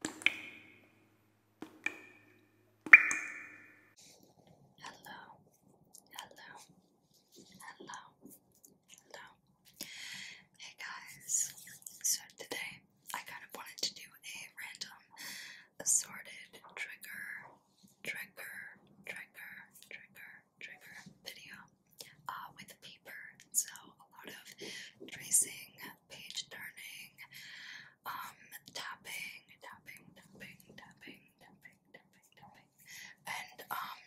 Hello, hello, hello, hello. Hey guys, so today I kind of wanted to do a random assorted trigger, trigger, trigger, trigger, trigger video uh, with paper. So a lot of tracing, page turning, um, tapping, tapping, tapping, tapping, tapping, tapping, tapping, and um,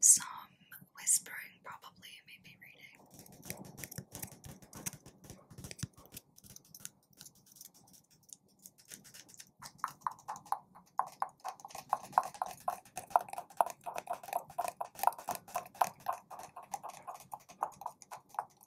some whispering, probably, maybe reading.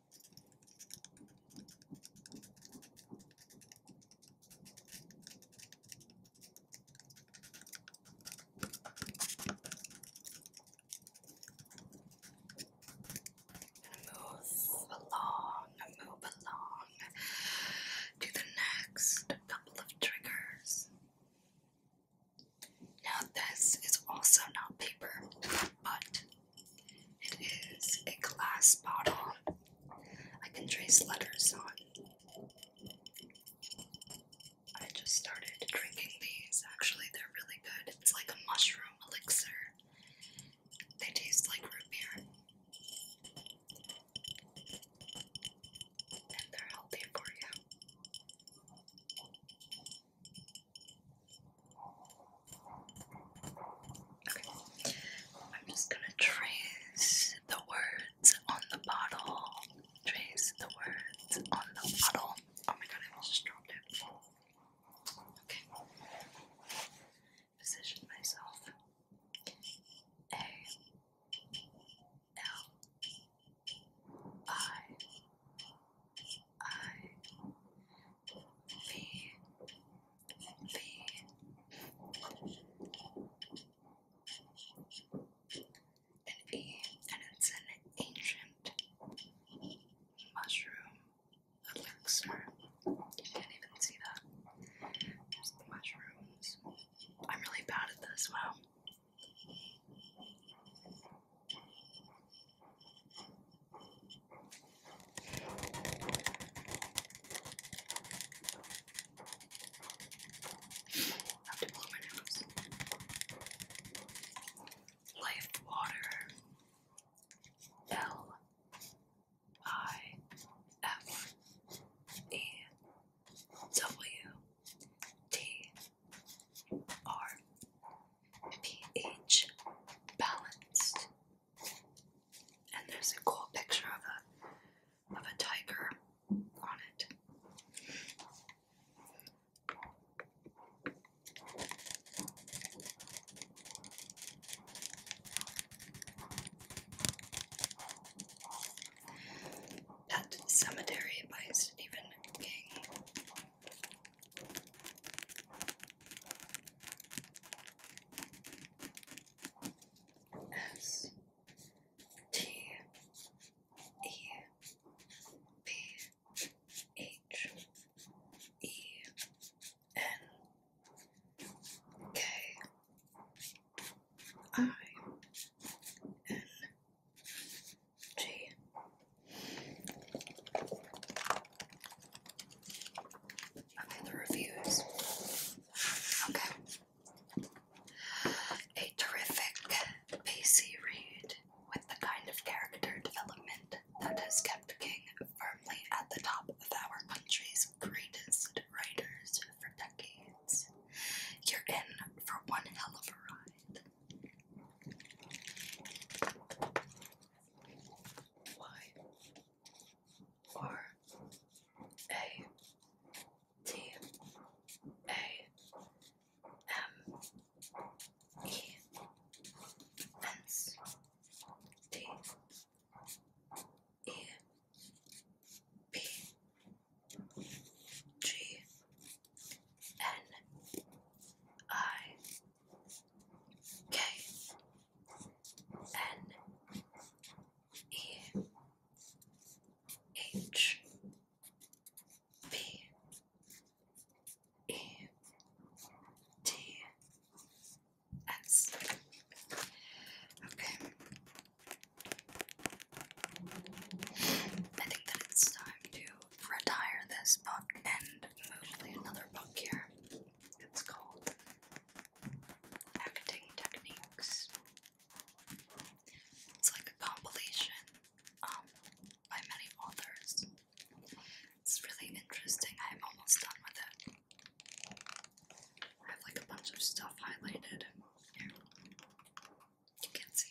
move along, move along to the next couple of triggers. Now, this is also not paper, but it is a glass bottle. I can trace letters on. I just started drinking these. Actually, they're really good. It's like a mushroom elixir. They taste like root beer. And they're healthy for you. I'm just gonna trace the words on the bottle. Trace the words on the bottle. Oh my god, I just dropped it. Okay. Position myself. A L I I V V and it's an ancient mushroom elixir. You can't even see that. There's the mushrooms. I'm really bad at this, wow have Life water. L I F E W T R P H balanced and there's a cool picture of a of a tiger on it. Pet Cemetery by Stephen King. S T E P H E N K I N G Okay, the reviews. Okay. A terrific, pacey read with the kind of character development that has kept King firmly at the top of our country's greatest writers for decades. You're in for one hell of a ride. Why? R A T A M E S D E P G N I K N E H B E T S. Okay. I think that it's time to retire this book and move another book here. It's called Acting Techniques. It's like a compilation um, by many authors. It's really interesting. I'm almost done with it. I have like a bunch of stuff highlighted. Here. You can see.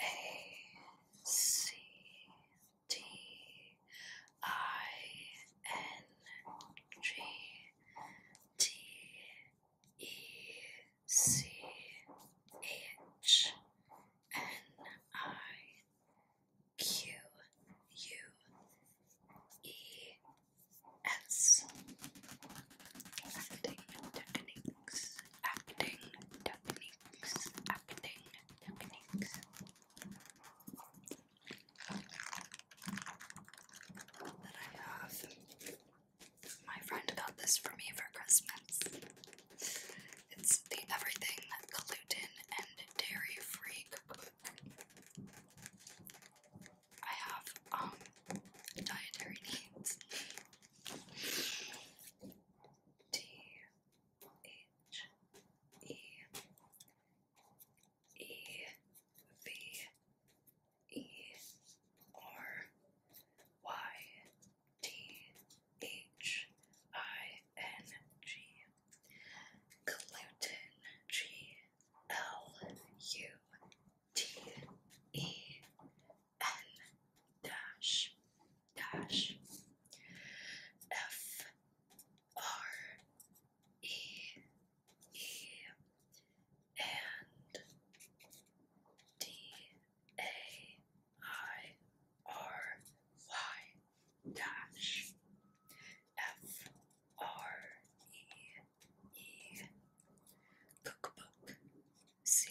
A C D I N G D E C H N I Q U E S Acting techniques Acting techniques happening, happening. That I have. My friend got this for me for Christmas. It's the everything gluten and dairy free I have um dietary needs. T H E E V E R Y T H I N G Gluten G L U T E N dash dash F R E E and D A I R Y dash F R E E Cookbook C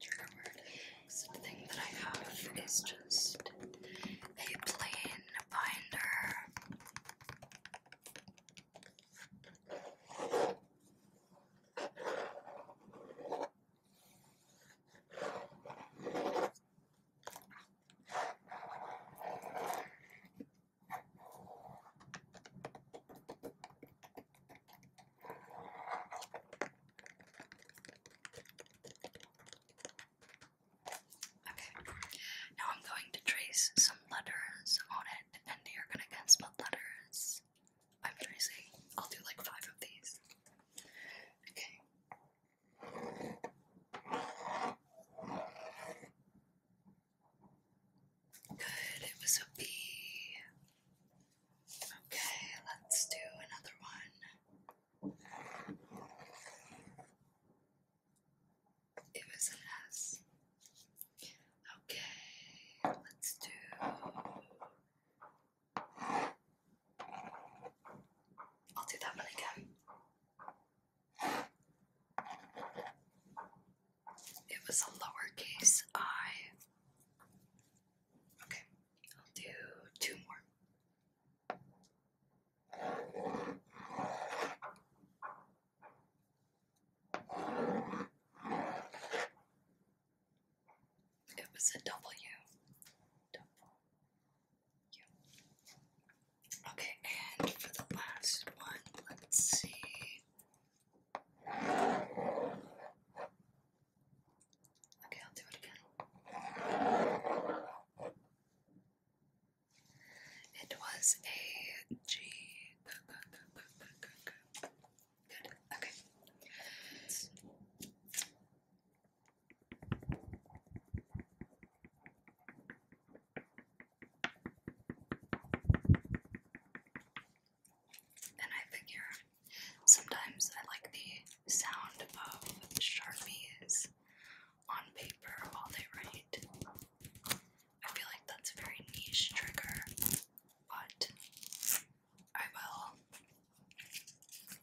trigger that I have is just a plain binder. Okay, now I'm going to trace some letters on it, and you're gonna guess what letters I'm tracing. I'll do like five of these. Okay. Good, it was a B. Okay, let's do another one. It was an S. Okay, let's do. I'll do that one again. It was a lowercase i. Okay, I'll do two more. It was a W. Okay, and for the last one, let's see. Okay, I'll do it again. It was a G. Okay. And I figure sometimes I like the sound of Sharpies on paper while they write. I feel like that's a very niche trigger, but I will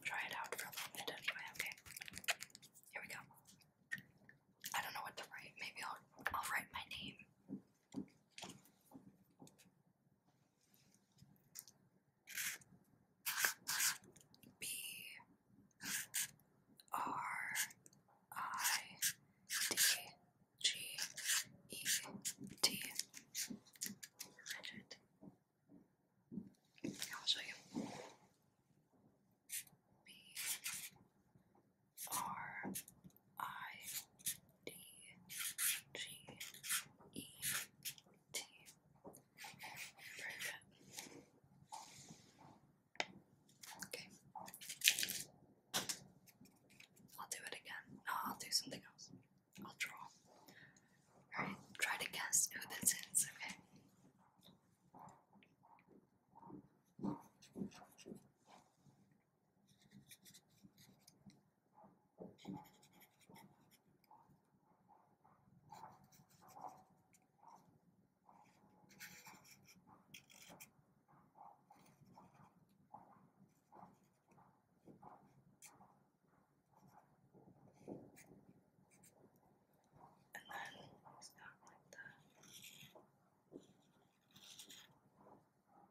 try it out for a little bit okay? Here we go. I don't know what to write. Maybe I'll I'll write my name. B R I D G E T. will show you. B R I D G E T. Okay. I'll do it again. No, I'll do something else. I'll draw. Alright, try to guess who this is, okay? then start with the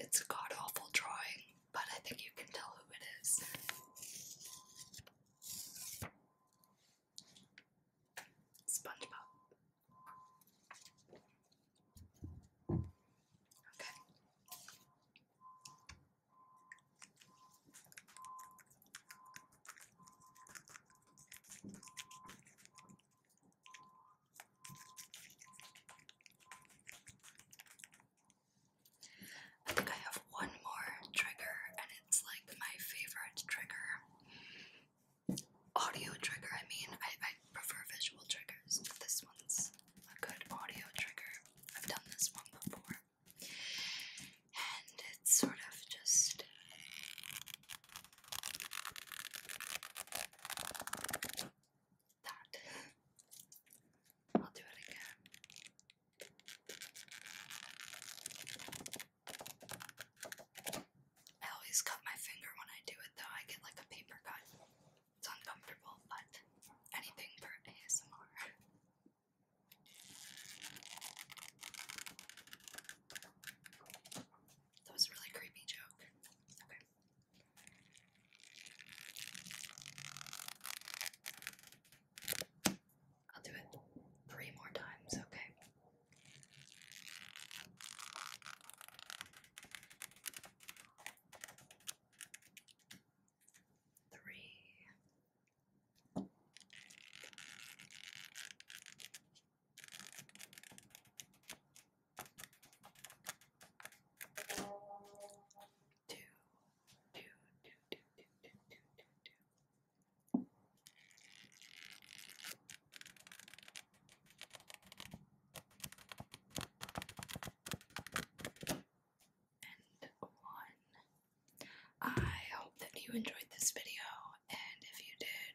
It's a god awful drawing, but I think you can tell who it is. SpongeBob. Okay. I think I have one more trigger, and it's like my favorite trigger audio trigger. I mean, I, I prefer visual triggers. This one's a good audio trigger. I've done this one before. And it's sort of just. That. I'll do it again. I always cut my finger when I do it though. I get like a paper cut. It's uncomfortable, but anything for ASMR. That was really creepy joke. Okay. I'll do it three more times, okay? Three. Two, two, two, two, two, two, two, two, two, and one. I hope that you enjoyed this video, and if you did,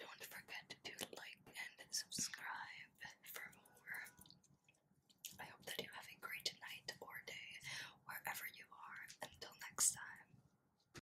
don't forget to like and subscribe for more. I hope that you have a great night or day wherever you are. Until next time.